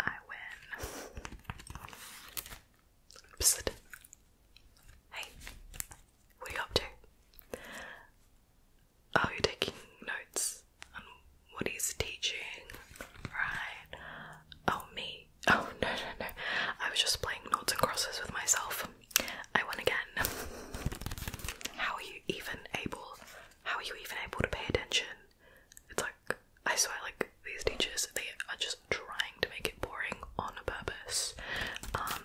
I win. Psst. Hey, what are you up to? Oh, you taking notes what he's teaching, right? Oh, me. Oh, no, no, no. I was just playing noughts and crosses with myself. I won again. How are you even able? How are you even able to pay attention? It's like, I swear, like, these teachers, they are just trying to make it boring on a purpose. Um,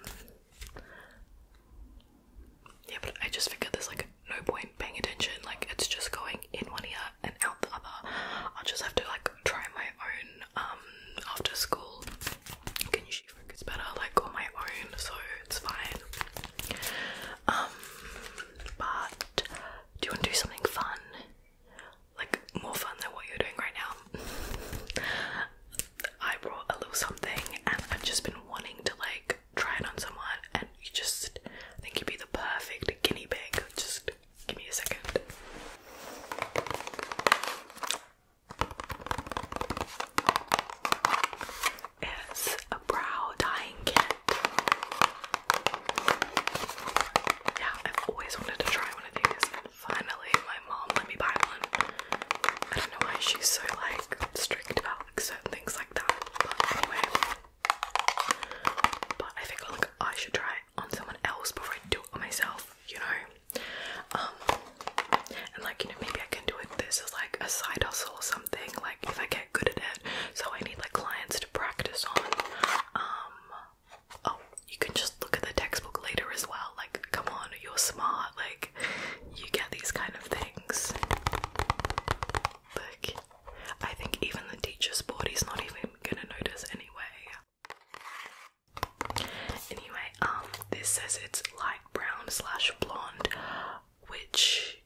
yeah, but I just figured there's like no point paying attention, like it's just going in one ear and out the other. I'll just have to like try my own um after school. Can usually focus better like on my own, so it's fine. Um but do you wanna do something fun? Like more fun than what you're doing right now. I brought a little something and I've just been wanting to like try it on someone and you just think you'd be the perfect guinea pig. Just give me a second. It's a brow dyeing kit. Yeah, I've always wanted to try one of these, finally my mom let me buy one. I don't know why she's so like strict about certain things like that. But anyway, but I think like I should try it on someone else before I do it on myself, you know. Um, and like you know maybe I can do it this is like a side hustle or something, like if I get good at it. So I need like clients to practice on. Um, oh you can just look at the textbook later as well. Like come on, you're smart, like you get these kind of things. Look. I think even the teacher's board is not even gonna notice anyway. Anyway, um, this says it's light brown slash blonde, which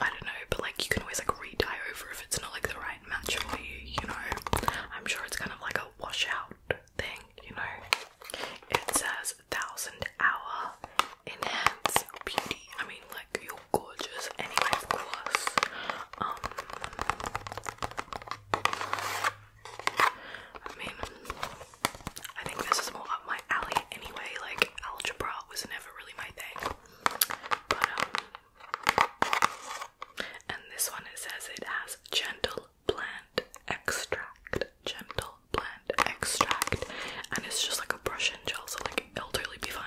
I don't know, but like you can always like re over if it's not like the right match for you, you know. I'm sure it's kind of like a washout thing, you know. It says thousand hour in beauty. I mean, like you're gorgeous anyway, of course. Um, I mean, I think this is more up my alley anyway. Like algebra was never really my thing, but um, and this one it says it has gentle plant extract, gentle plant extract, and it's just like a brush and gel, so like it'll totally be fine.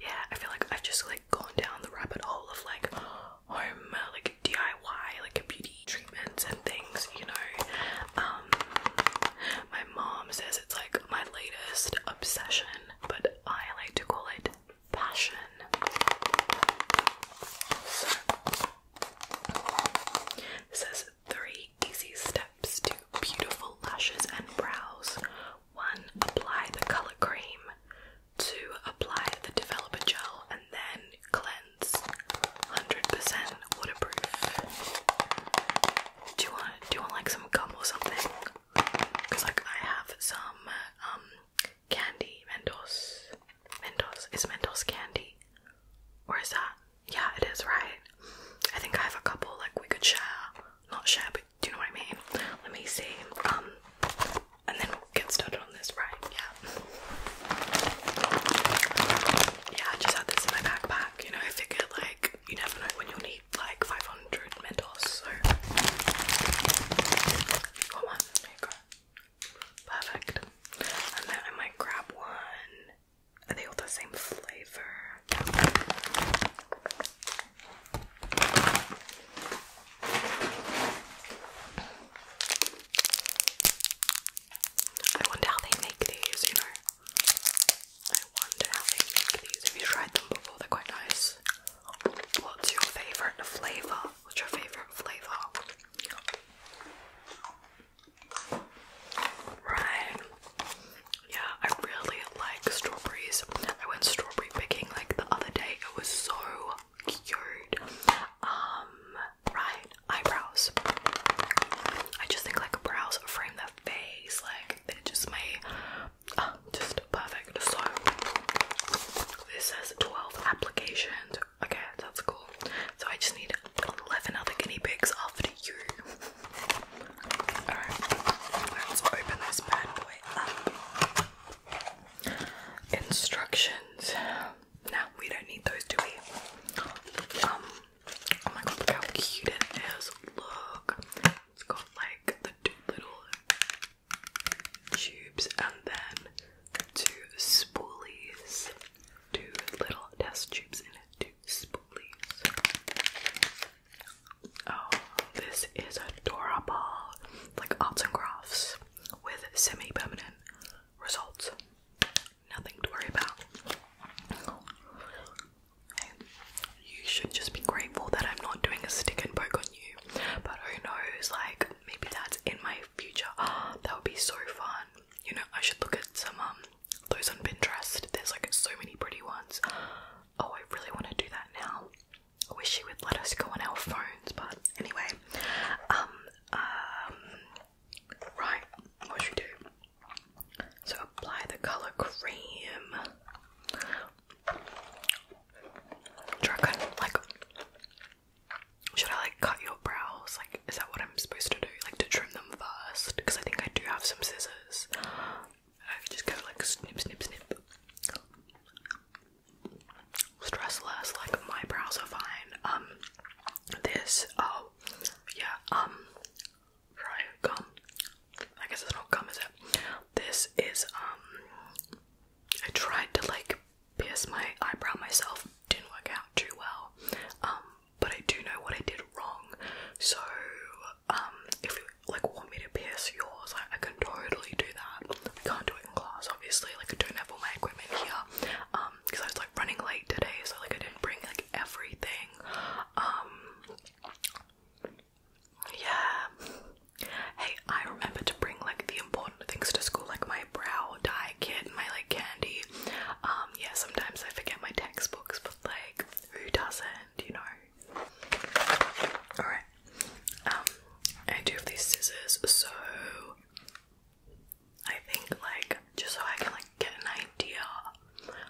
Yeah, I feel like I've just like gone down the rabbit hole of like home, uh, like DIY, like beauty treatments and things, you know. Um, my mom says it's like my latest obsession, but I like to call it passion three easy steps to beautiful lashes and brows. One, apply the color cream. Two, apply the developer gel and then cleanse. 100% waterproof. Do you want do you want like some gum or something? Cause like I have some um, candy Mendos. Mentos is Mendos candy, or is that yeah, it is, right? I think I have a couple like we could share. Not share, but do you know what I mean? Let me see. Um and then we'll get started on this, right? Yeah. Yeah, I just had this in my backpack, you know, I figured like you never know when you'll need like 500 Mentos, so one, Perfect. And then I might grab one are they all the same flavor? I wonder how they make these, you know. I wonder how they make these. Have you tried them before? They're quite nice. What's your favourite flavour? What's your favourite flavour? Right. Yeah, I really like strawberries. I went strawberry picking like the other day. It was so cute. Um, right, eyebrows. I just think like brows frame their face, like they're just made, ah, just perfect. So this says 12 applications. Okay, that's cool. So I just need 11 other guinea pigs after you. Alright, let's open this bad boy Instructions. Now we don't need those, do we? Um, oh my god, look how cute it is. Look. It's got like the two little tubes and then two spoolies. Two little test tubes in it, two two Oh, this is adorable. Like arts and with semi-permanent results. Nothing to worry about. You should just be grateful that I'm not doing a stick and poke on you. But who knows, like maybe that's in my future. that would be so fun. You know, I should look at some um, those on Pinterest. There's like so many pretty ones. Oh, I really want to do that now. I wish she would let us go on our phones, but anyway. Um, um, right, what should we do? So apply the color cream. Do like should I like cut your brows? Like, is that what I'm supposed to do? Like to trim them first? Because I think I do have some scissors this. just go like snip, snip, snip. Stress like my brows are fine. Um, this, oh, yeah, um, dry gum. I guess it's not gum, is it? This is, um, I tried to like pierce my eyebrow myself, didn't work out too well. Um, but I do know what I did wrong. So, um, if you like want me to pierce yours, I, I can totally do that. I can't do it in class, obviously. Like, I don't have all my equipment here, um, because I was like running late today, so like I didn't bring like everything. Um, yeah. Hey, I remember to bring like the important things to school, like my brow dye kit and my like candy. Um, yeah, sometimes I forget my textbooks, like who doesn't, you know? Alright. Um, I do have these scissors, so I think like just so I can like get an idea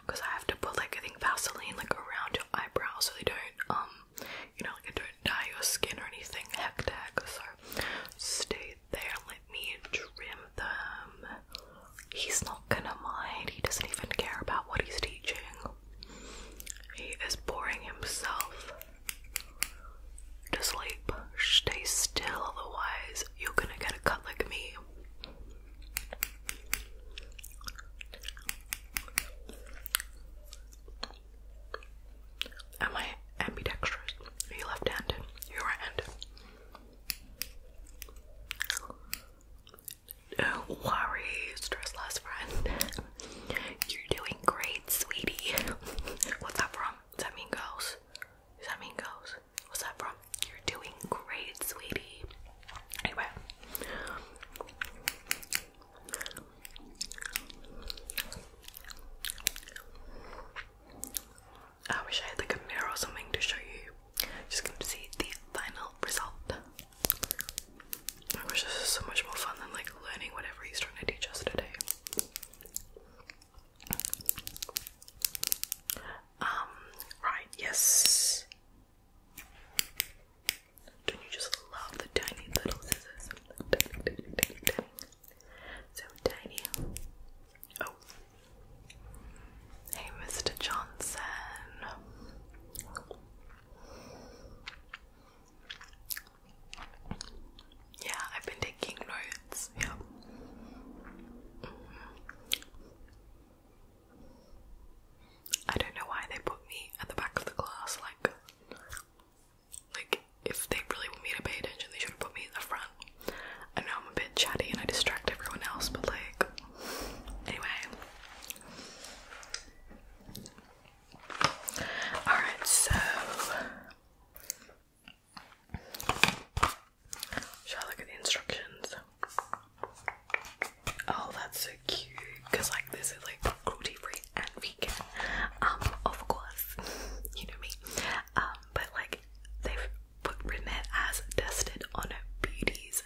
because I have to put like I think Vaseline like around your eyebrows so they don't um you know like they don't dye your skin or anything hectic so stay there let me trim He's not gonna mind, he doesn't even care about what he's teaching. He is boring himself to sleep. Stay still, otherwise, you're gonna get a cut like me. Am I ambidextrous? Are you left handed? You're right handed. Don't worry, stressless friend. You're doing great, sweetie. What's that from? Does that mean girls? Does that mean girls? What's that from? You're doing great, sweetie. Anyway. I wish I had like a or something to show you just going to see the final result. I wish this is so much more fun than like learning whatever he's trying to teach us today. Um, right, yes. Don't you just love the tiny little scissors? So tiny. Oh, Hey, Mr. Johnson. Yeah, I've been taking notes. Yeah. Mm-hmm. I don't know why they put me at the back of the class. Like, like if they really want me to pay attention, they should have put me in the front. I know I'm a bit chatty and I distract everyone else, but like, Anyway. Alright, so shall I look at the instructions? Oh, that's so cute. Cause like this is like cruelty free and vegan. Um, of course, you know me. Um, but like they've put written it as tested on beauties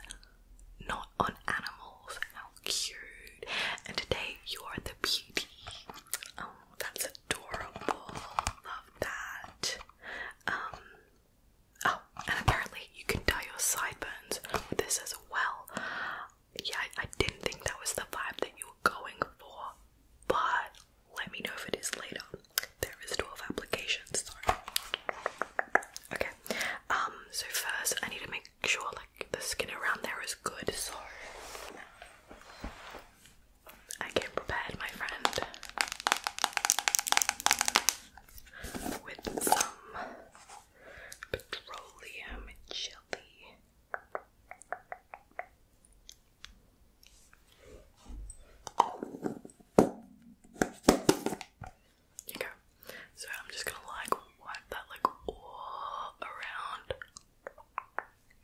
not on animals. How cute! And today you're the beauty. Oh, that's adorable. Love that. Um. Oh, and apparently you can dye your sideburns with this as well. Yeah, I, didn't think that was the vibe that you were going for, but let me know if it is later. There is 12 applications, sorry. Okay. Um, so first I need to make sure like the skin around there is good, so I came prepared, my friend. With some petroleum jelly so I'm just gonna like wipe that like all around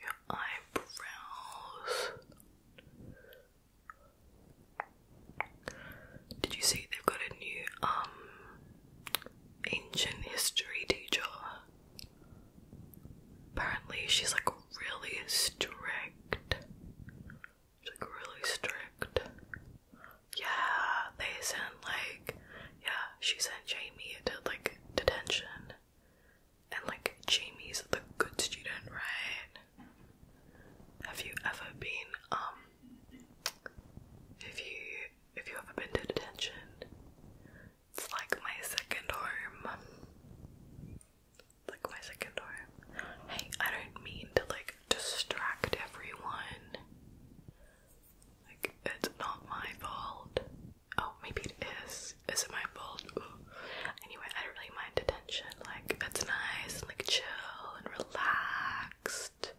your eyebrows. Did you see they've got a new um ancient history teacher? Apparently she's like really strict like really strict. Yeah, they sent like yeah, she sent Jamie to like detention. And like Jamie's the good student, right? Have you ever been um if you if you ever been to detention? It's like my second home. Like my second home. Hey, I don't mean to like distract everyone. Like, it's not my fault. Oh, maybe it is. Is it my fault? Anyway, I don't really mind detention. Like, that's nice like chill and relaxed.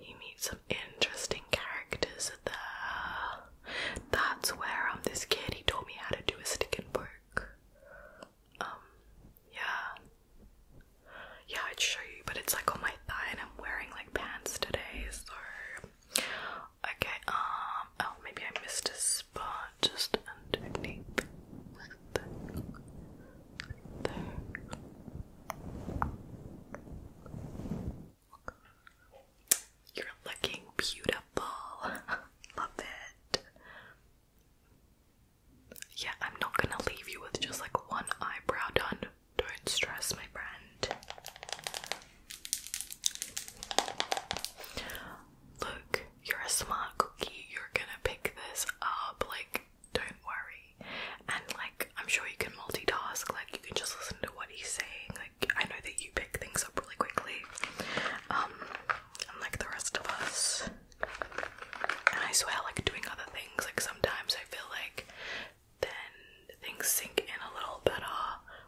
You meet some interesting characters there. That's where I'm. Um, this kid he taught me how to do a stick and work. Um, yeah, yeah, I'd show you, but it's like on my thigh and I'm wearing like pants today, so okay, um oh maybe I missed a spot just underneath. You're looking beautiful. Love it. Yeah, I'm not gonna leave you with just like one eyebrow done. Don't stress, my friend. Look, you're a smart cookie. You're gonna pick this up. Like, don't worry. And, like, I'm sure you can multitask. Like, you can just listen to what he's saying. Like, I know that you pick things up really quickly. Um, unlike the rest of us. I swear, like doing other things, like sometimes I feel like then things sink in a little better.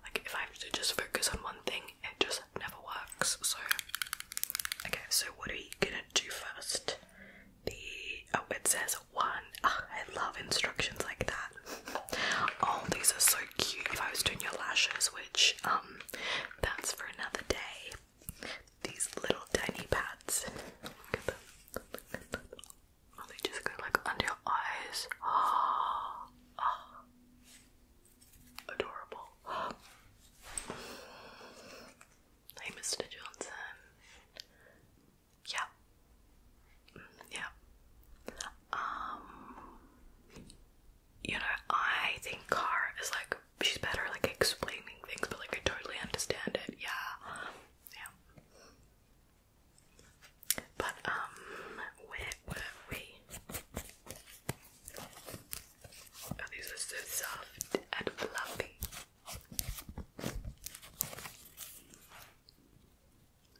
Like if I have to just focus on one thing, it just never works. So, okay, so what are you gonna do first? The oh, it says one. Ah, I love instructions like that. Oh, these are so cute. If I was doing your lashes, which um, that's for another day these little tiny pads. Look at them. Oh, they just go like under your eyes. Oh, Adorable. Hey, Mr. Johnson. Yeah. Mm, yeah. Um, you know, I think car is like she's better like explaining things, but like I totally understand it. Yeah, yeah. But um, where were we? Oh, these are so soft and fluffy.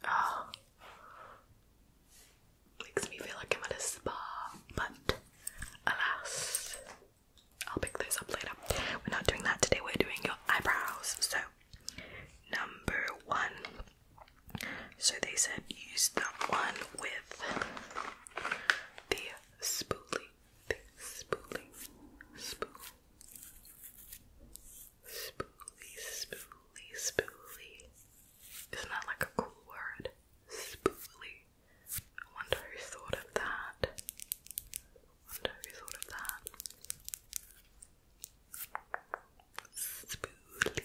Oh. Makes me feel like I'm at a spa, but alas, I'll pick those up later. We're not doing that today, we're doing your eyebrows. So, number one. So, they said use the one with the spoolie. spoolie. Spool. Spoolie, spoolie, spoolie. Isn't that like a cool word? Spoolie. I wonder who thought of that. wonder who thought of that. Spooly.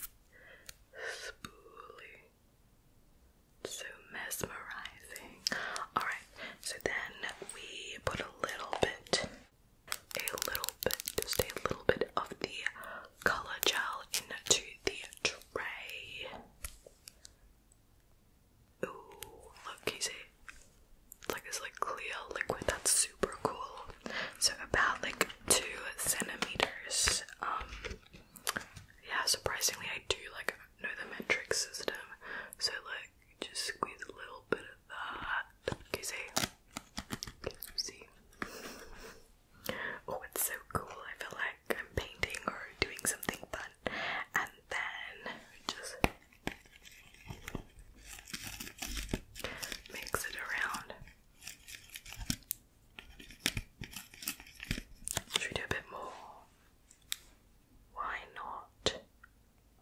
Spooly. So mesmerizing. Alright, so then we put a little bit, a little bit, just a little bit of the color gel into the tray. Ooh, look, can you Like this like clear liquid that's super cool. So about like two centimeters. Um yeah, surprisingly I do like know the metric system. So like just squeeze a little bit of that. Can you see? see? Oh, it's so cool. I feel like I'm painting or doing something fun and then just mix it around. Should we do a bit more? Why not?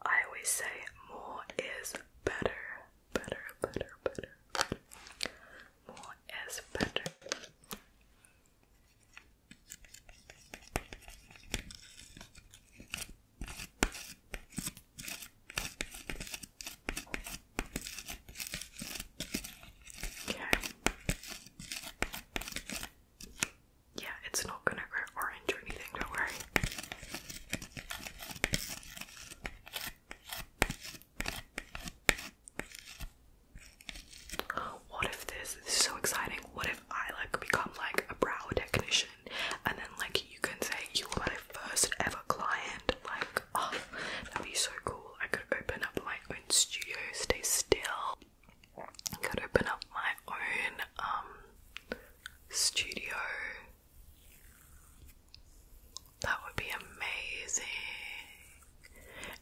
I always say more is better. Better, better, better. More is better. Okay. Yeah, it's not gonna get orange or anything, don't worry what if this, is so exciting what if i like become like a brow technician and then like you can say you were my first ever client like oh, that'd be so cool i could open up my own studio stay still i could open up my own um studio that would be amazing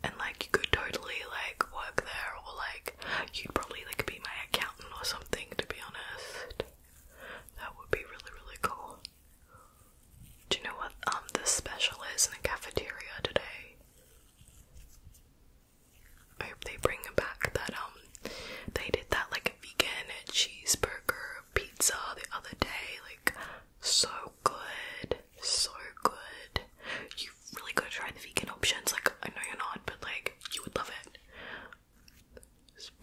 and like you could totally like work there or like you'd probably like be my accountant or something to be honest. That would be really really cool. Do you know what um the special is in the cafeteria today? I hope they bring it back that um they did that like vegan cheeseburger pizza the other day like so good so good you really gotta try the vegan options. Like, I know you're not, but like, you would love it. Just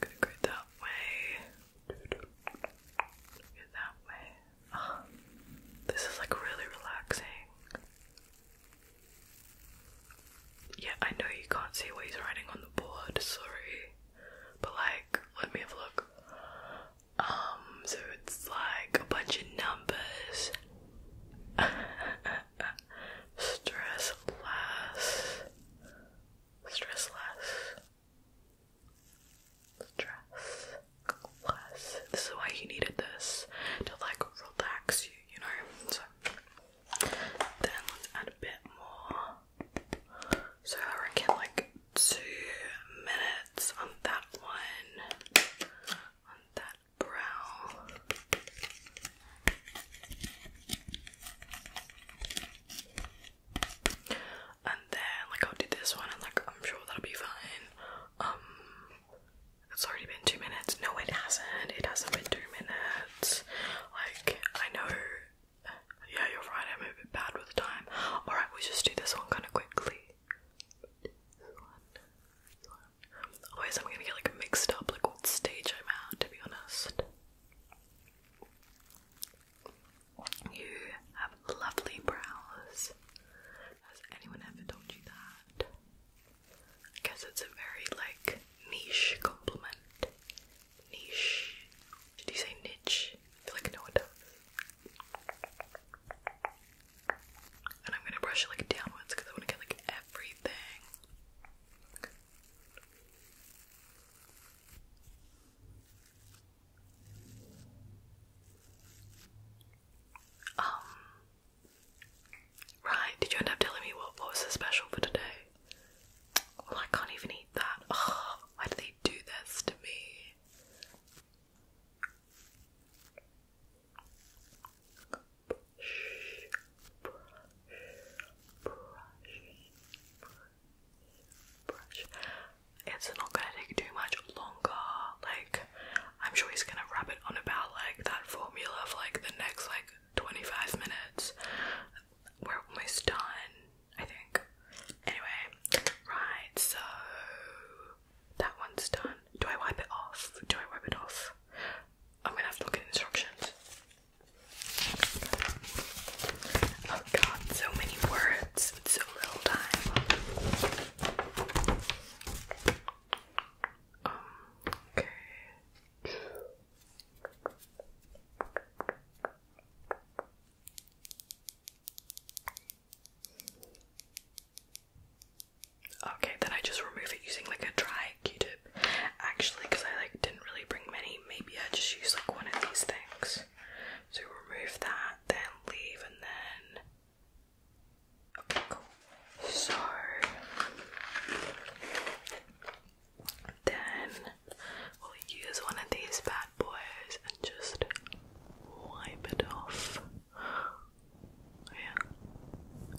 gonna go that way in that way. Um, this is like really relaxing. Yeah, I know you can't see what he's writing on the board, sorry. But like, let me have a look. Um, so it's like a bunch of numbers. Stress less. Stress less stress, less. This is why you needed this to like relax you, you know. So then let's add a bit more. So I reckon like two minutes on that one, on that brow. And then like I'll do this one and like I'm sure that'll be fine. Um it's already been two minutes. No it hasn't. It hasn't been two minutes. Like I know yeah you're right, I'm a bit bad with the time. Alright, we just do this one kinda quickly. Otherwise I'm gonna get like mixed up like what stage I'm at to be honest. You have lovely brows. Has anyone ever told you that? I guess it's a very like niche compliment. Niche. Did you say niche? feel like no one does. And I'm gonna brush it like downwards because I want to get like everything. Um, right, did you end up telling me what, what was so special for today? Well, I can't even eat that. why do they do this to me? It's not gonna take too much longer. Like, I'm sure he's gonna rub it on about like that formula of like the next like 25 minutes. We're almost done, I think. Anyway, right, so that one's done. Do I wipe it off? Do I wipe it off? I'm gonna have to look at instructions. Oh god, so many words. so little time. okay. Okay, then I just remove it using like a dry Q-tip. Actually, because I like didn't really bring many maybe I just use like one of these things. So remove that, then leave, and then okay, cool. So then we'll use one of these bad boys and just wipe it off. Yeah,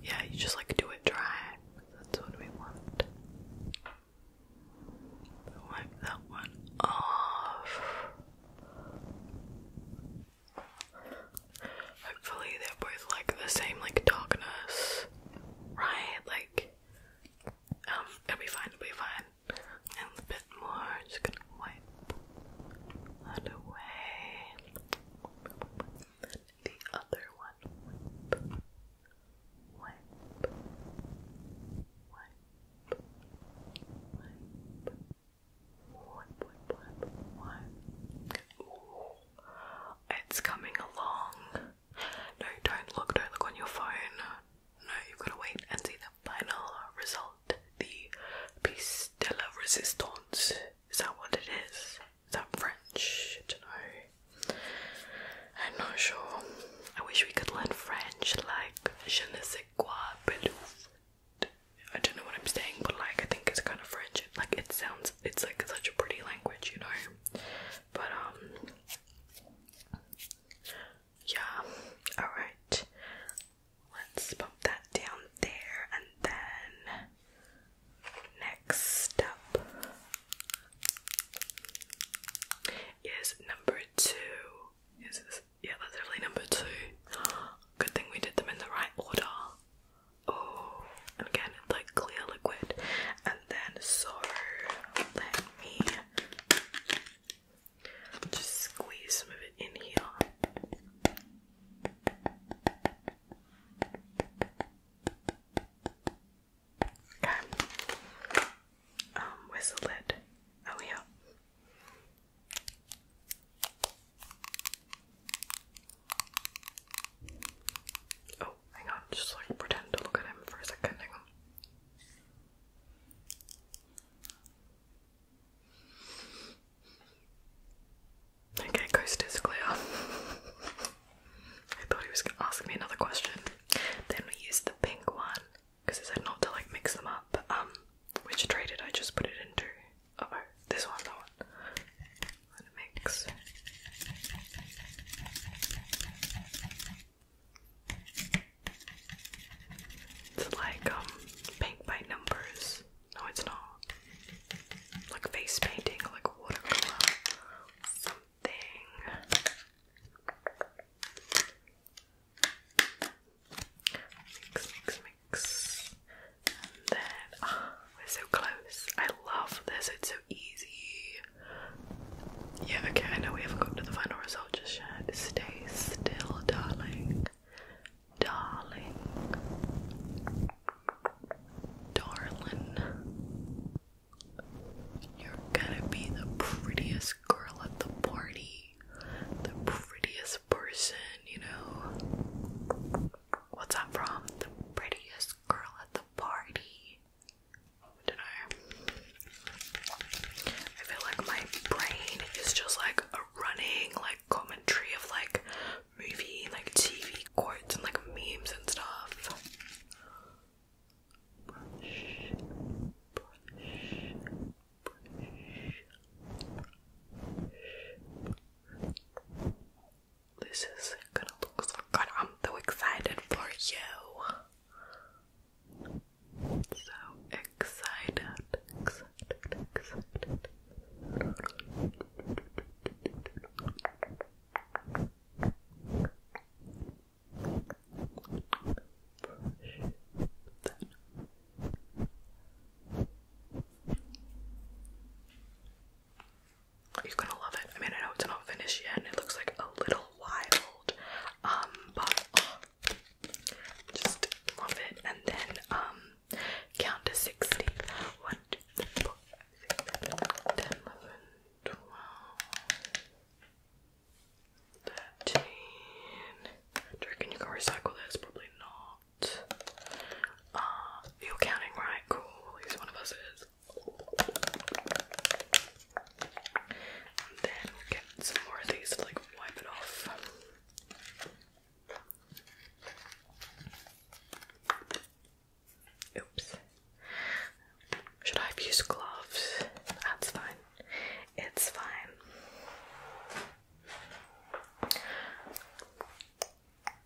yeah. You just like do it dry. That's what we want. Wipe that one off. Hopefully, they're both like the same, like darkness, right? Like, um, it'll be fine, it'll be fine. And a bit more, just gonna wipe that away. The other one wipe, it's coming along. No, don't look, don't look on your phone. No, you've got to wait and see the final result. The pistella resistance. Is that what it is? Is that French? don't know. I'm not sure. I wish we could learn French like je ne sais quoi, belouf. I don't know what I'm saying, but like I think it's kind of French. Like it sounds, it's like such a pretty language, you know. But um, yeah. All right, let's pop that down there, and then next step is number two. Yeah, that's definitely number two. Good thing we did them in the right order. Oh, again, like clear liquid. And then, so let me just squeeze some of it in here. Okay. Um, where's the Oh yeah. Oh, hang on, just like pretend to look at him for a second, Okay, coast is clear. I thought he was gonna ask me another question. Then we use the pink one because it said not to like mix them up. um, which tray did I just put it into? oh, this one, that one. mix. It's like um paint by numbers. No, it's not. Like face painting, like watercolor, Mix, mix, mix. then, we're so close. I love this, it's so easy. Yeah, okay, I know we haven't gotten to the final result just Stay still, darling. Darling. Darlin. You're gonna be the prettiest girl at the party, the prettiest person, you know. What's that from? The prettiest girl at the party. I don't know. I feel like my brain is just like a running like commentary of like movie, like TV quotes and like memes and stuff. This is gonna look so good. I'm so excited for you. So excited. You're gonna love it. I mean, I know it's not finished yet, and it looks like a little wild, um, but uh, just love it. And then, um, count to sixty. One, two, three, four, five, six, seven, 13. Do reckon you can recycle this? Probably not. Uh, you're counting right? Cool. At least one of us is. then get some more of these to like wipe it off. Oops. Should I have used gloves? That's fine. It's fine.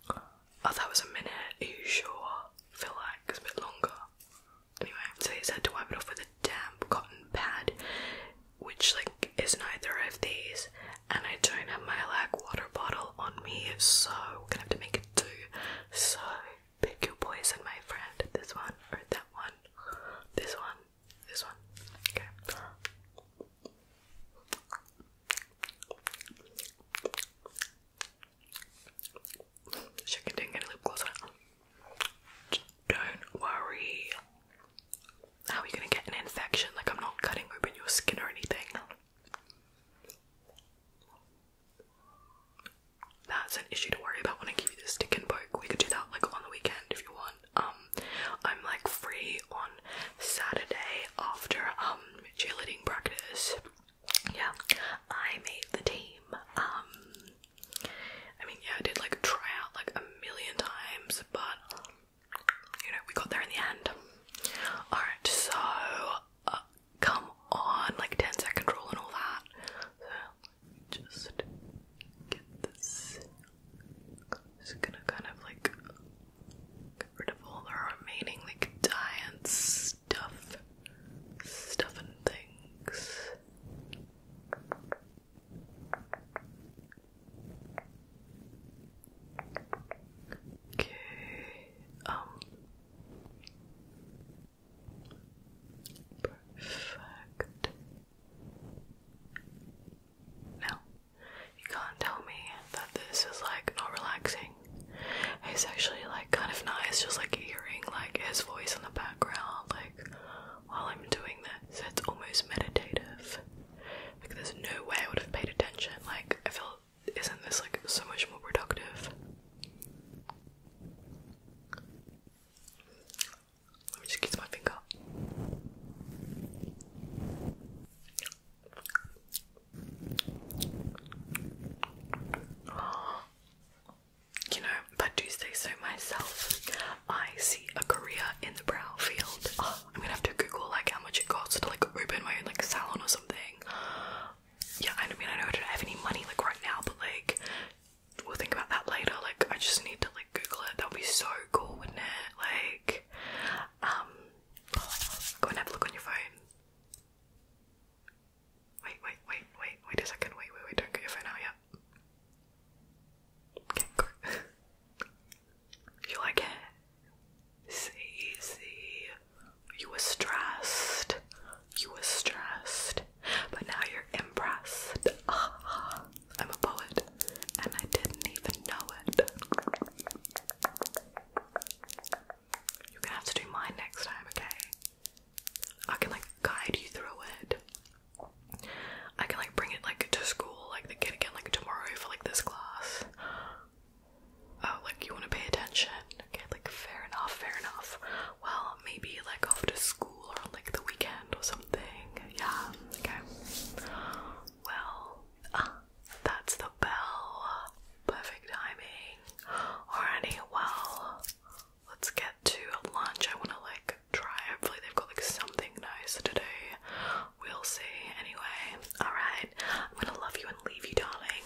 Oh, that was a minute. Are you sure? I feel like it's a bit longer. Anyway, so he said to wipe it off with a damp cotton pad, which like is neither of these, and I don't have my lack water bottle on me, so I'm gonna have to make it do. So Pick your poison, my friend. This one or that one. This one. This one. Okay. She can did get a lip gloss on. Don't worry. How are you gonna get an infection? Like I'm not cutting open your skin or anything that's an issue to worry about when I give you the stick and poke. We could do that like on the weekend if you want. Um, I'm like free on Saturday after um cheerleading practice. Yeah, I made the team. Um, I mean, yeah, I did like try out like a million times, but you know, we got there in the end. Alright, so uh, come on, like ten second rule and all that just get this. Just gonna kind of like get rid of all the remaining like giant stuff, stuff and things. Okay. Um. Perfect. Now, you can't tell me that this is like not relaxing. It's actually like kind of nice just like hearing like his voice in the background like while I'm doing this. It's almost meditative. Like there's no way I would have paid attention. Like I feel isn't this like so much more productive? Let me just kiss my finger. You know, if do say so myself, I see a career in the brow field. I'm gonna have to Google like how much it costs to like open my own like salon or something. Yeah, I mean I know I don't have any money like right now, but like we'll think about that later. Like, I just need to like Google it. That would be so cool, wouldn't it? Like, um, go and have a look on your phone. Wait, wait, wait, wait, wait a second. Wait, wait, wait. Don't get your phone out yet. Okay, go. you like it? See, see. You were stressed. You were stressed but now you're impressed. I'm a poet, and I didn't even know it. You're gonna have to do mine next time, okay? I can like guide you through it. I can like bring it like to school, like the kid again, like tomorrow for like this class. Oh, like you want to pay attention? Okay, like fair enough, fair enough well, maybe like after school or like the weekend or something. Yeah, okay. Well, ah, that's the bell. Perfect timing. Alrighty, well, let's get to lunch. I want to like try. Hopefully, they've got like something nice today. We'll see. Anyway, alright. I'm gonna love you and leave you, darling.